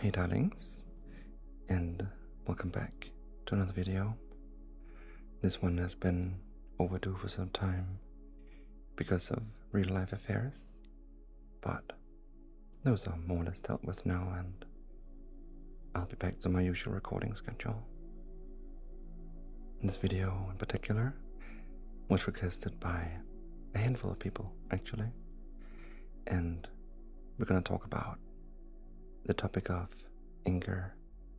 Hey darlings, and welcome back to another video. This one has been overdue for some time because of real life affairs, but those are more or less dealt with now, and I'll be back to my usual recording schedule. This video in particular was requested by a handful of people actually, and we're gonna talk about the topic of anger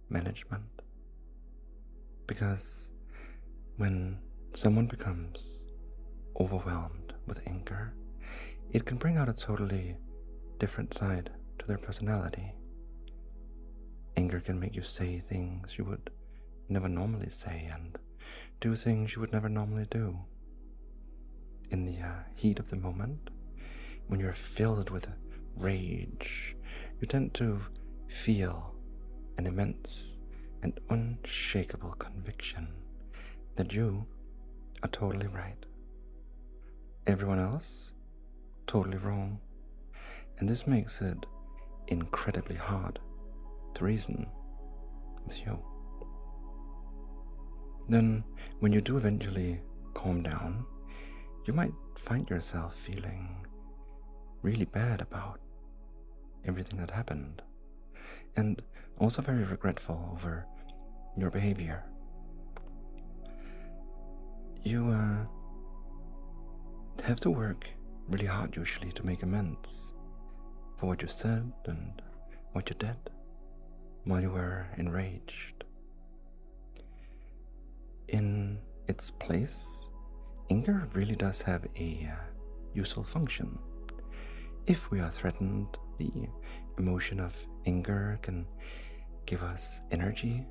management. Because when someone becomes overwhelmed with anger, it can bring out a totally different side to their personality. Anger can make you say things you would never normally say and do things you would never normally do. In the uh, heat of the moment, when you're filled with rage, you tend to feel an immense and unshakable conviction that you are totally right. Everyone else totally wrong. And this makes it incredibly hard to reason with you. Then, when you do eventually calm down, you might find yourself feeling really bad about everything that happened and also very regretful over your behavior. You, uh, have to work really hard usually to make amends for what you said and what you did while you were enraged. In its place, anger really does have a uh, useful function. If we are threatened, the emotion of anger can give us energy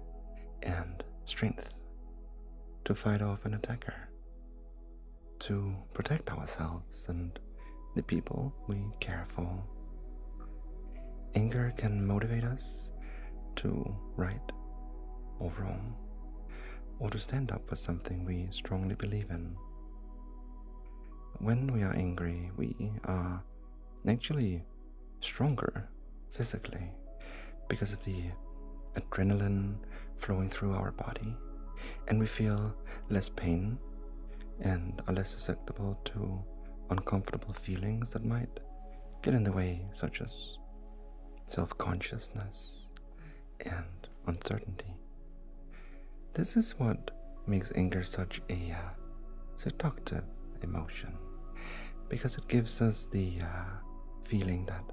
and strength to fight off an attacker, to protect ourselves and the people we care for. Anger can motivate us to right or wrong, or to stand up for something we strongly believe in. When we are angry, we are naturally stronger physically because of the adrenaline flowing through our body, and we feel less pain and are less susceptible to uncomfortable feelings that might get in the way, such as self consciousness and uncertainty. This is what makes anger such a uh, seductive emotion because it gives us the uh, feeling that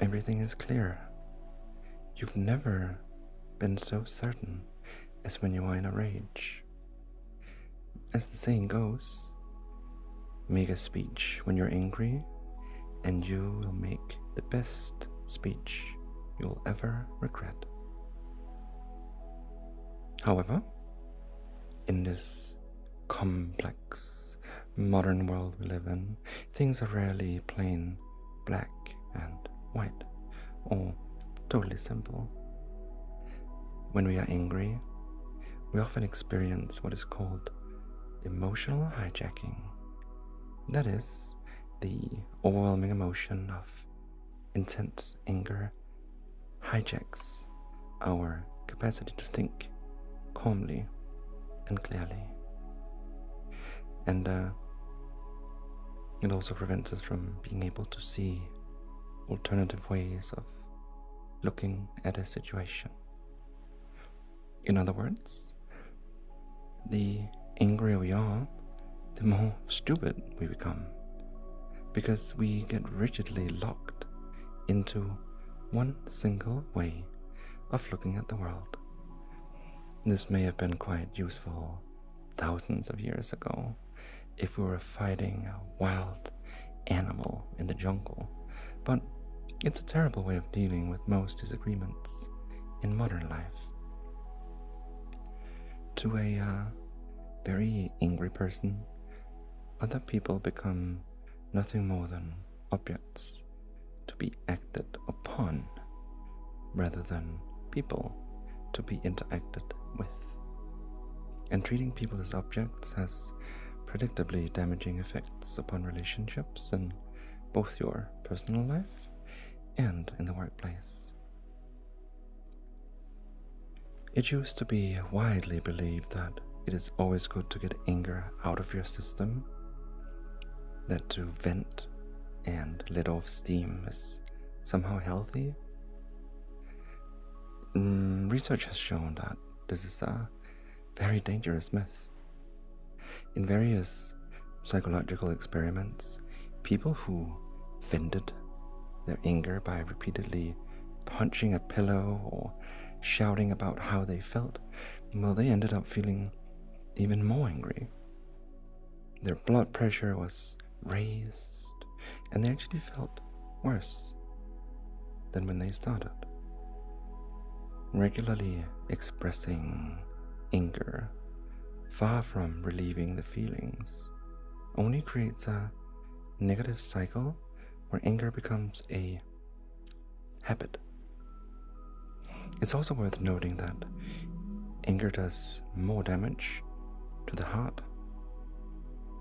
everything is clear. You've never been so certain as when you are in a rage. As the saying goes, make a speech when you're angry, and you will make the best speech you'll ever regret. However, in this complex modern world we live in, things are rarely plain black and white or totally simple. When we are angry, we often experience what is called emotional hijacking. That is, the overwhelming emotion of intense anger hijacks our capacity to think calmly and clearly. And uh, it also prevents us from being able to see alternative ways of looking at a situation. In other words, the angrier we are, the more stupid we become because we get rigidly locked into one single way of looking at the world. This may have been quite useful thousands of years ago if we were fighting a wild animal in the jungle, but it's a terrible way of dealing with most disagreements in modern life. To a uh, very angry person, other people become nothing more than objects to be acted upon rather than people to be interacted with. And treating people as objects has predictably damaging effects upon relationships in both your personal life and in the workplace. It used to be widely believed that it is always good to get anger out of your system, that to vent and let off steam is somehow healthy. Mm, research has shown that this is a very dangerous myth. In various psychological experiments, people who fended their anger by repeatedly punching a pillow or shouting about how they felt, well, they ended up feeling even more angry. Their blood pressure was raised, and they actually felt worse than when they started. Regularly expressing anger, far from relieving the feelings, only creates a negative cycle where anger becomes a habit. It's also worth noting that anger does more damage to the heart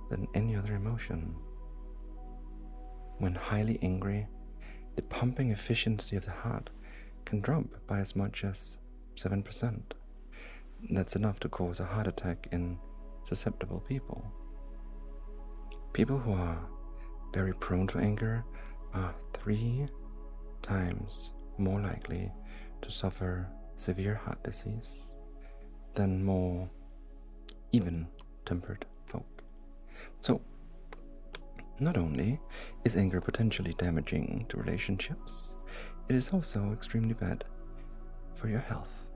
than any other emotion. When highly angry, the pumping efficiency of the heart can drop by as much as 7%. That's enough to cause a heart attack in susceptible people. People who are very prone to anger are three times more likely to suffer severe heart disease than more even tempered folk. So, not only is anger potentially damaging to relationships, it is also extremely bad for your health.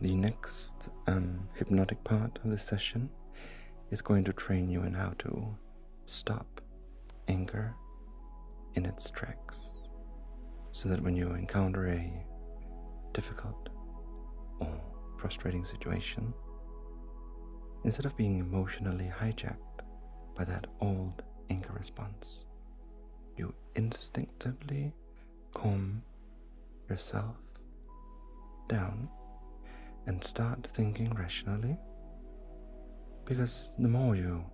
The next um, hypnotic part of this session is going to train you in how to stop anger in its tracks so that when you encounter a difficult or frustrating situation, instead of being emotionally hijacked by that old anger response. You instinctively calm yourself down and start thinking rationally. Because the more you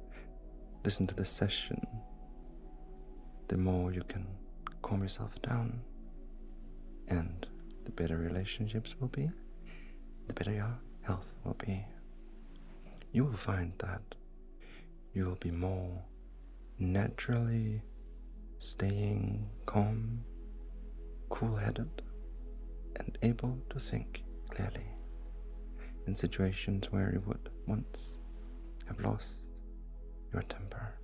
listen to this session, the more you can calm yourself down, and the better relationships will be, the better your health will be you will find that you will be more naturally staying calm, cool headed, and able to think clearly in situations where you would once have lost your temper.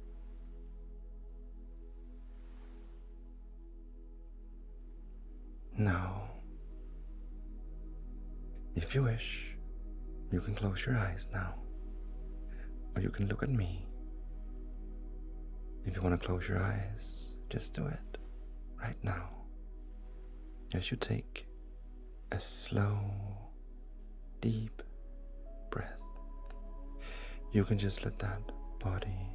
Now, if you wish, you can close your eyes now, or you can look at me. If you want to close your eyes, just do it right now as you take a slow, deep breath. You can just let that body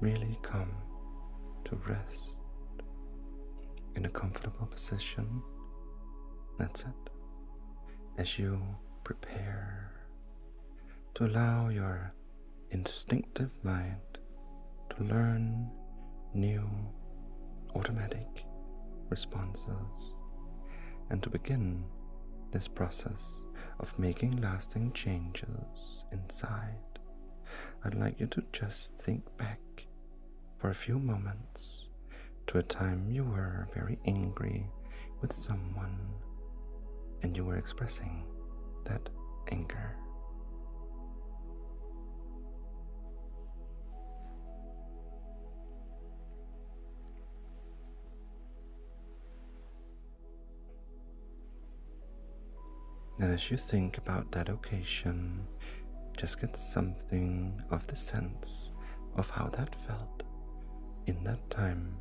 really come to rest in a comfortable position. That's it. As you prepare to allow your instinctive mind to learn new automatic responses and to begin this process of making lasting changes inside, I'd like you to just think back for a few moments to a time you were very angry with someone and you were expressing that anger. And as you think about that occasion, just get something of the sense of how that felt in that time,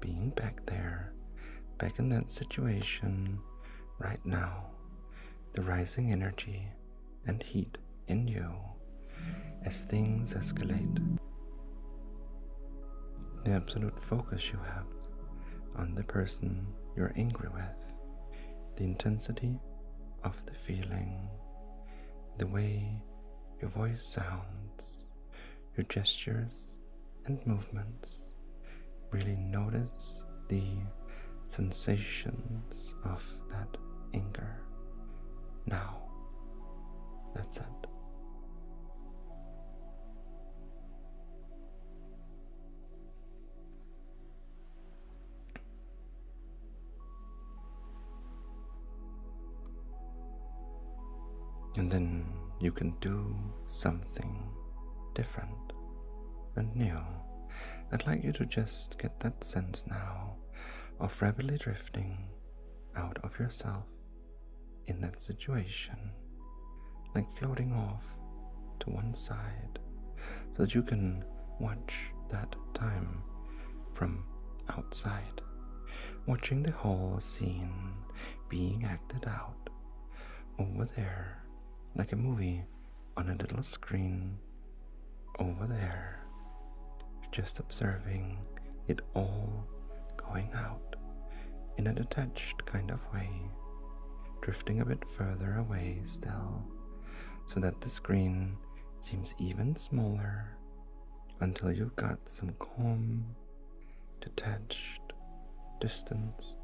being back there, back in that situation right now, the rising energy and heat in you as things escalate. The absolute focus you have on the person you're angry with, the intensity of the feeling, the way your voice sounds, your gestures and movements. Really notice the sensations of that anger. Now, that's it. And then you can do something different and new. I'd like you to just get that sense now of rapidly drifting out of yourself in that situation like floating off to one side, so that you can watch that time from outside, watching the whole scene being acted out over there, like a movie on a little screen over there, just observing it all going out in a detached kind of way, drifting a bit further away still, so that the screen seems even smaller until you've got some calm, detached distance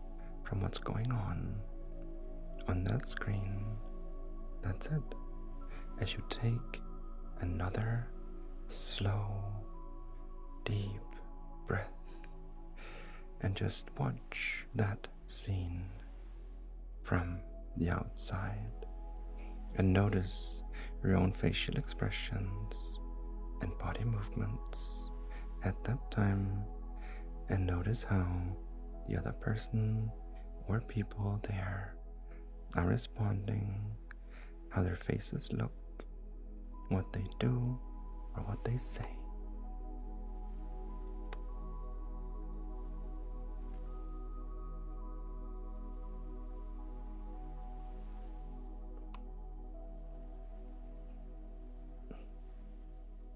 from what's going on on that screen. That's it. As you take another slow, deep breath and just watch that scene from the outside and notice your own facial expressions and body movements at that time and notice how the other person or people there are responding, how their faces look, what they do, or what they say.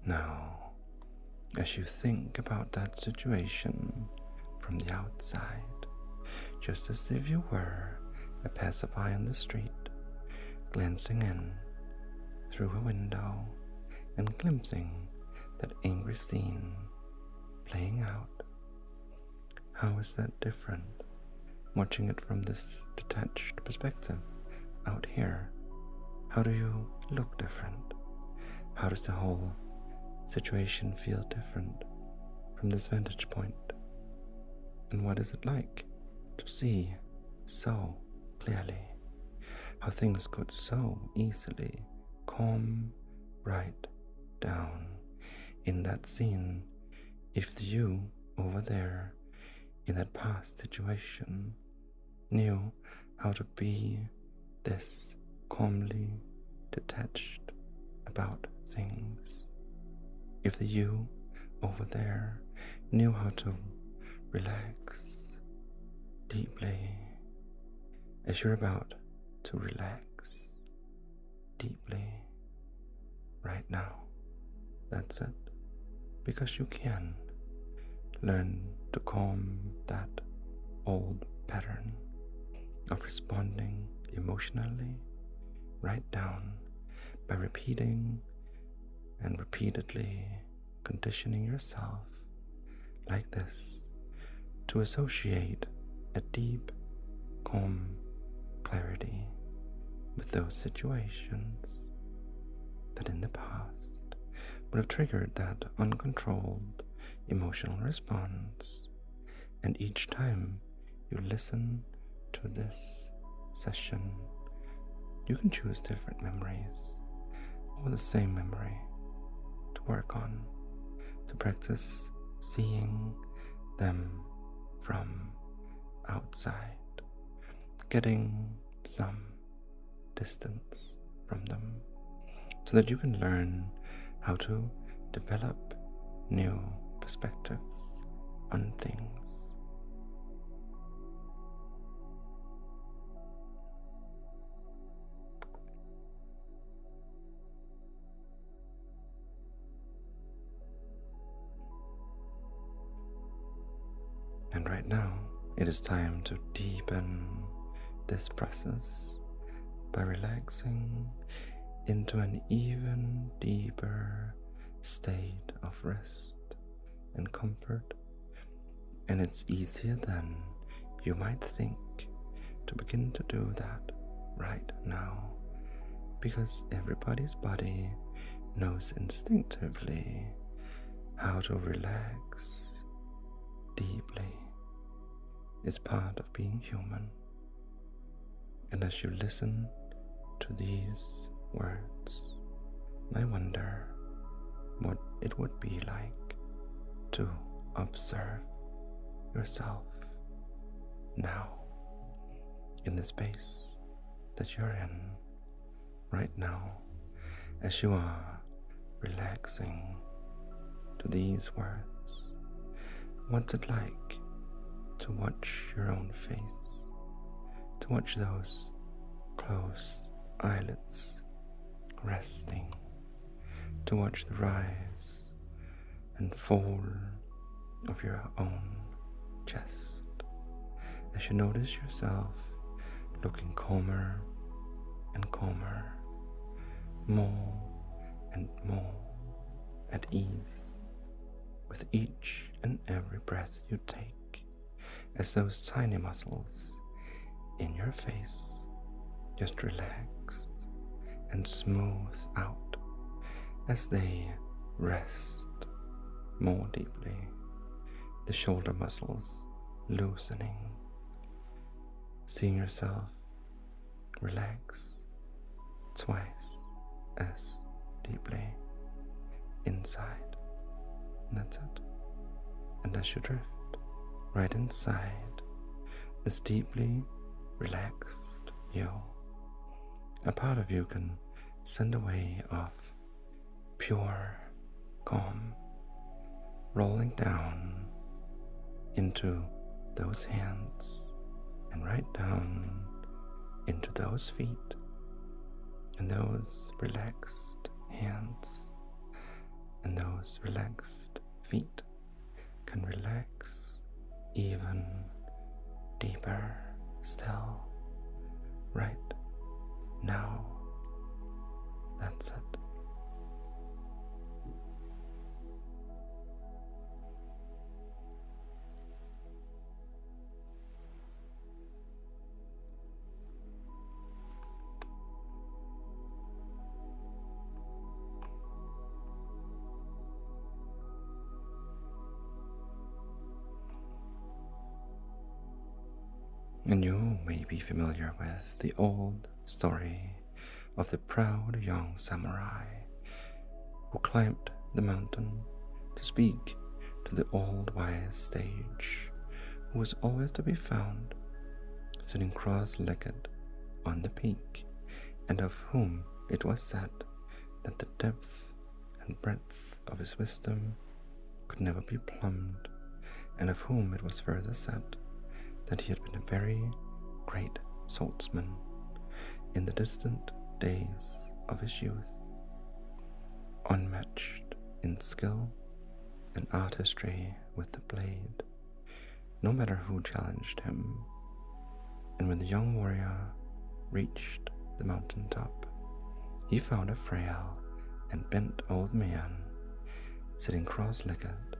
Now, as you think about that situation from the outside, just as if you were a passerby on the street, glancing in through a window and glimpsing that angry scene playing out. How is that different? Watching it from this detached perspective out here, how do you look different? How does the whole situation feel different from this vantage point? And what is it like to see so clearly, how things could so easily come right down in that scene if the you over there in that past situation knew how to be this calmly detached about things. If the you over there ever knew how to relax deeply. As you're about to relax deeply right now, that's it. Because you can learn to calm that old pattern of responding emotionally right down by repeating and repeatedly conditioning yourself like this to associate a deep, calm clarity with those situations that in the past would have triggered that uncontrolled emotional response. And each time you listen to this session, you can choose different memories or the same memory to work on, to practice seeing them from outside, getting some distance from them, so that you can learn how to develop new perspectives on things and right now, it is time to deepen this process by relaxing into an even deeper state of rest and comfort, and it's easier than you might think to begin to do that right now because everybody's body knows instinctively how to relax deeply. It's part of being human. And as you listen to these words, I wonder what it would be like to observe yourself now in the space that you're in right now as you are relaxing to these words. What's it like to watch your own face to watch those closed eyelids resting, to watch the rise and fall of your own chest as you notice yourself looking calmer and calmer, more and more at ease with each and every breath you take, as those tiny muscles in your face just relax and smooth out as they rest more deeply, the shoulder muscles loosening, seeing yourself relax twice as deeply inside. And that's it. And as you drift right inside this deeply relaxed you, a part of you can send a wave of pure calm rolling down into those hands and right down into those feet and those relaxed hands and those relaxed feet can relax even deeper still right now. That's it. And you may be familiar with the old story of the proud young samurai who climbed the mountain to speak to the old wise sage, who was always to be found sitting cross legged on the peak, and of whom it was said that the depth and breadth of his wisdom could never be plumbed, and of whom it was further said that he had been a very great swordsman. In the distant days of his youth, unmatched in skill and artistry with the blade, no matter who challenged him. And when the young warrior reached the mountain top, he found a frail and bent old man sitting cross legged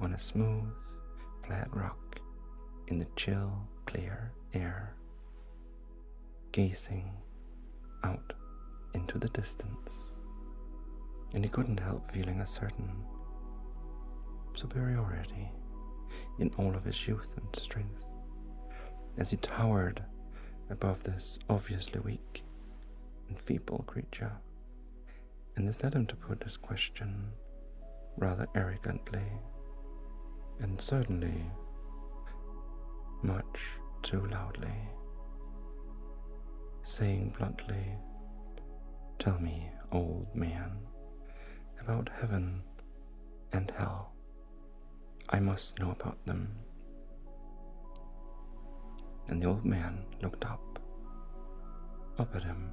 on a smooth, flat rock in the chill, clear air, gazing out into the distance, and he couldn't help feeling a certain superiority in all of his youth and strength as he towered above this obviously weak and feeble creature. And this led him to put this question rather arrogantly, and certainly much too loudly, saying bluntly, Tell me, old man, about heaven and hell. I must know about them. And the old man looked up, up at him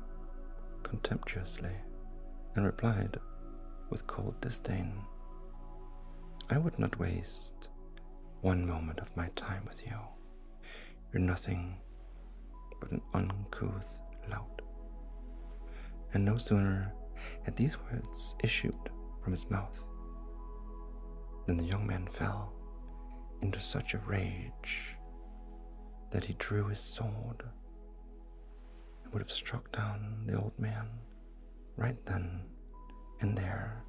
contemptuously, and replied, with cold disdain. I would not waste one moment of my time with you. You're nothing but an uncouth lout. And no sooner had these words issued from his mouth than the young man fell into such a rage that he drew his sword and would have struck down the old man right then and there,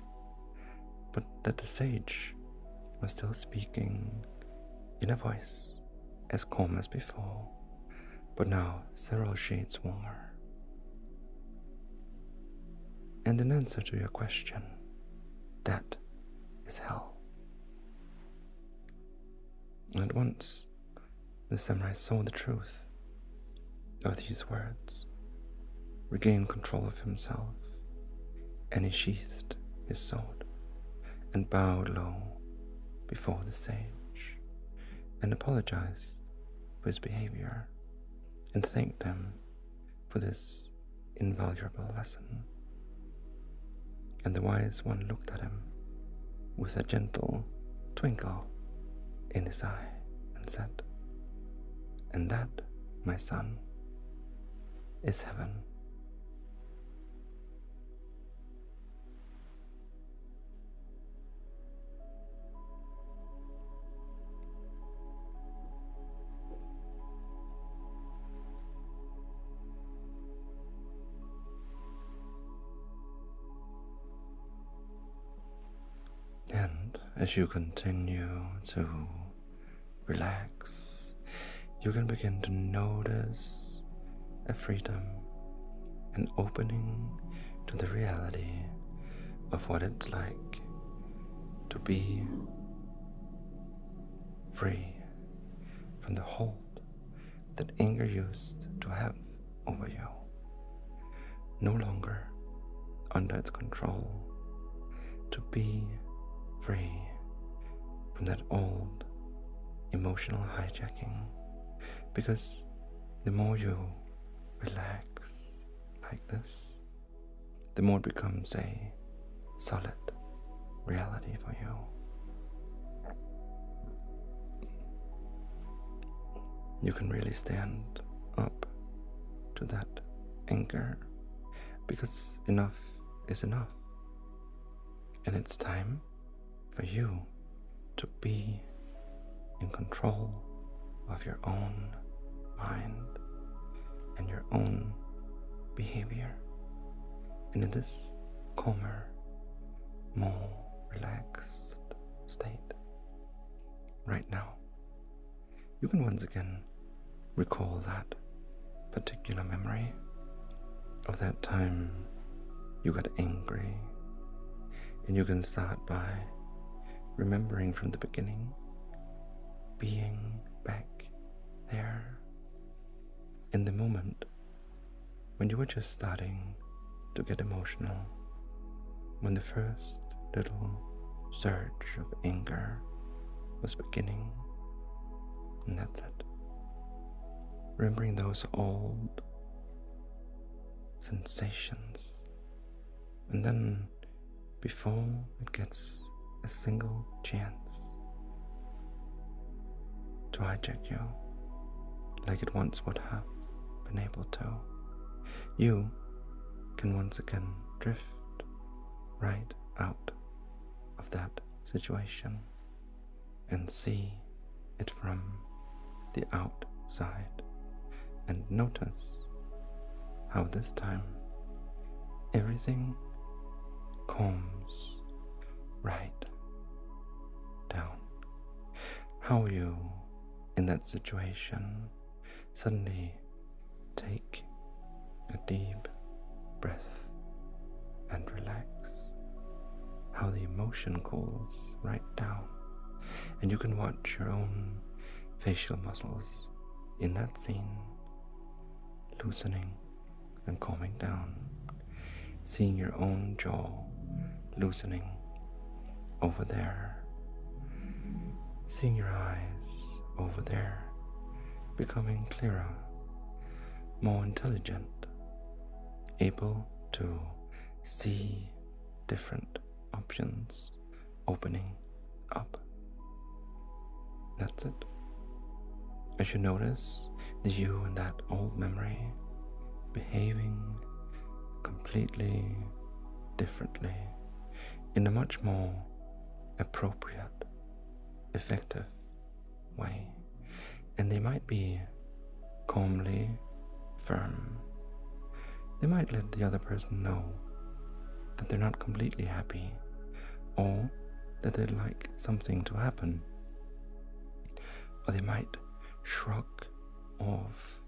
but that the sage was still speaking in a voice as calm as before, but now several shades warmer. And in answer to your question, that is hell. at once the samurai saw the truth of these words, regained control of himself, and he sheathed his sword and bowed low before the sage and apologized for his behavior and thanked him for this invaluable lesson. And the wise one looked at him with a gentle twinkle in his eye and said, And that, my son, is heaven. And as you continue to relax, you can begin to notice a freedom, an opening to the reality of what it's like to be free from the hold that anger used to have over you, no longer under its control, to be free from that old emotional hijacking. Because the more you relax like this, the more it becomes a solid reality for you. You can really stand up to that anger because enough is enough. And it's time for you to be in control of your own mind and your own behavior. And in this calmer more relaxed state right now, you can once again recall that particular memory of that time you got angry. And you can start by remembering from the beginning, being back there in the moment when you were just starting to get emotional, when the first little surge of anger was beginning. And that's it. Remembering those old sensations. And then, before it gets a single chance to hijack you like it once would have been able to. You can once again drift right out of that situation and see it from the outside and notice how this time everything comes right down. How you, in that situation, suddenly take a deep breath and relax. How the emotion cools right down, and you can watch your own facial muscles in that scene loosening and calming down, seeing your own jaw loosening over there, seeing your eyes over there becoming clearer, more intelligent, able to see different options opening up. That's it. As you notice that you and that old memory behaving completely differently in a much more appropriate, effective way. And they might be calmly firm. They might let the other person know that they're not completely happy or that they'd like something to happen or they might shrug off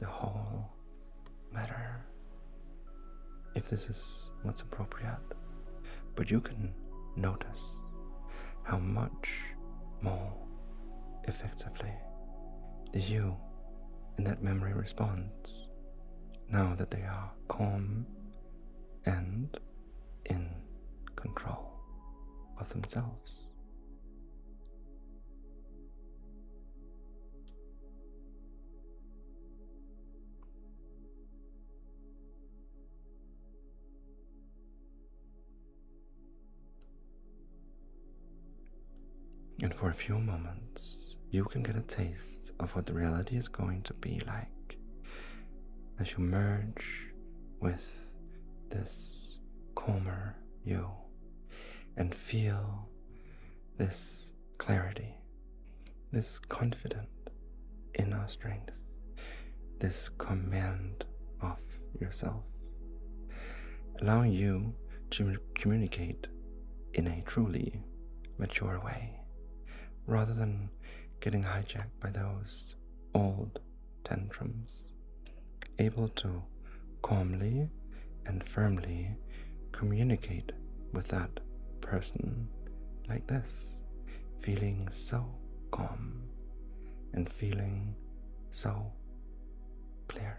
the whole matter if this is what's appropriate. But you can notice how much more effectively the you in that memory responds now that they are calm and in control of themselves. And for a few moments, you can get a taste of what the reality is going to be like as you merge with this calmer you and feel this clarity, this confident inner strength, this command of yourself, allowing you to communicate in a truly mature way rather than getting hijacked by those old tantrums, able to calmly and firmly communicate with that person like this, feeling so calm and feeling so clear.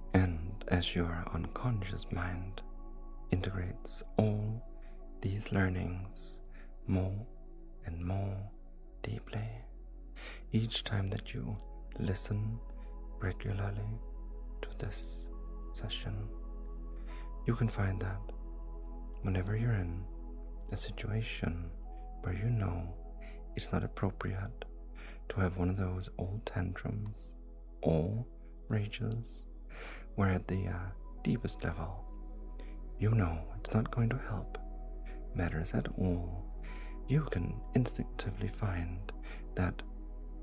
And as your unconscious mind integrates all these learnings more and more deeply, each time that you listen regularly to this session, you can find that whenever you're in a situation where you know it's not appropriate to have one of those old tantrums or rages where at the uh, deepest level you know it's not going to help matters at all you can instinctively find that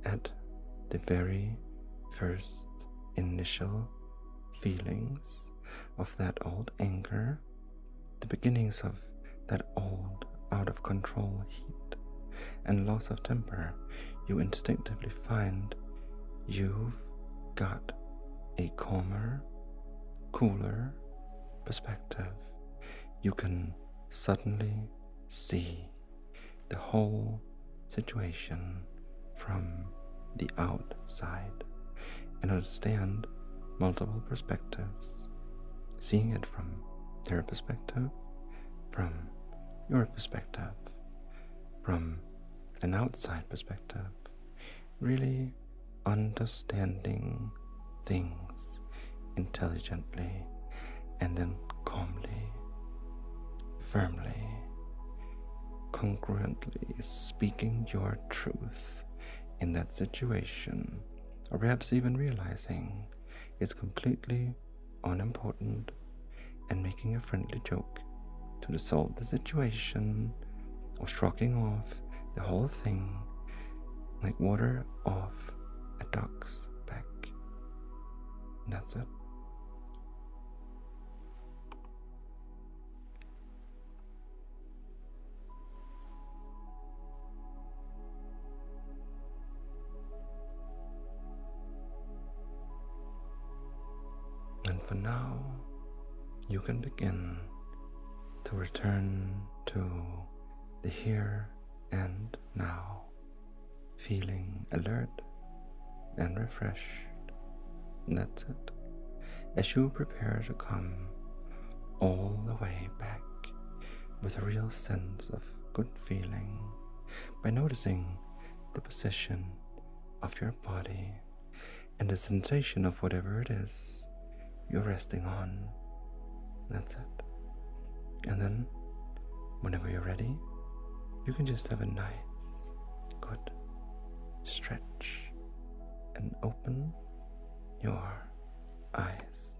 at the very first initial feelings of that old anger the beginnings of that old, out of control heat and loss of temper, you instinctively find you've got a calmer, cooler perspective. You can suddenly see the whole situation from the outside and understand multiple perspectives, seeing it from their perspective, from your perspective, from an outside perspective, really understanding things intelligently and then calmly, firmly, congruently speaking your truth in that situation or perhaps even realizing it's completely unimportant and making a friendly joke to resolve the situation or shrugging off the whole thing like water off a duck's back. that's it. And for now, you can begin to return to the here and now, feeling alert and refreshed. that's it. As you prepare to come all the way back with a real sense of good feeling by noticing the position of your body and the sensation of whatever it is you're resting on. That's it. And then, whenever you're ready, you can just have a nice, good stretch and open your eyes.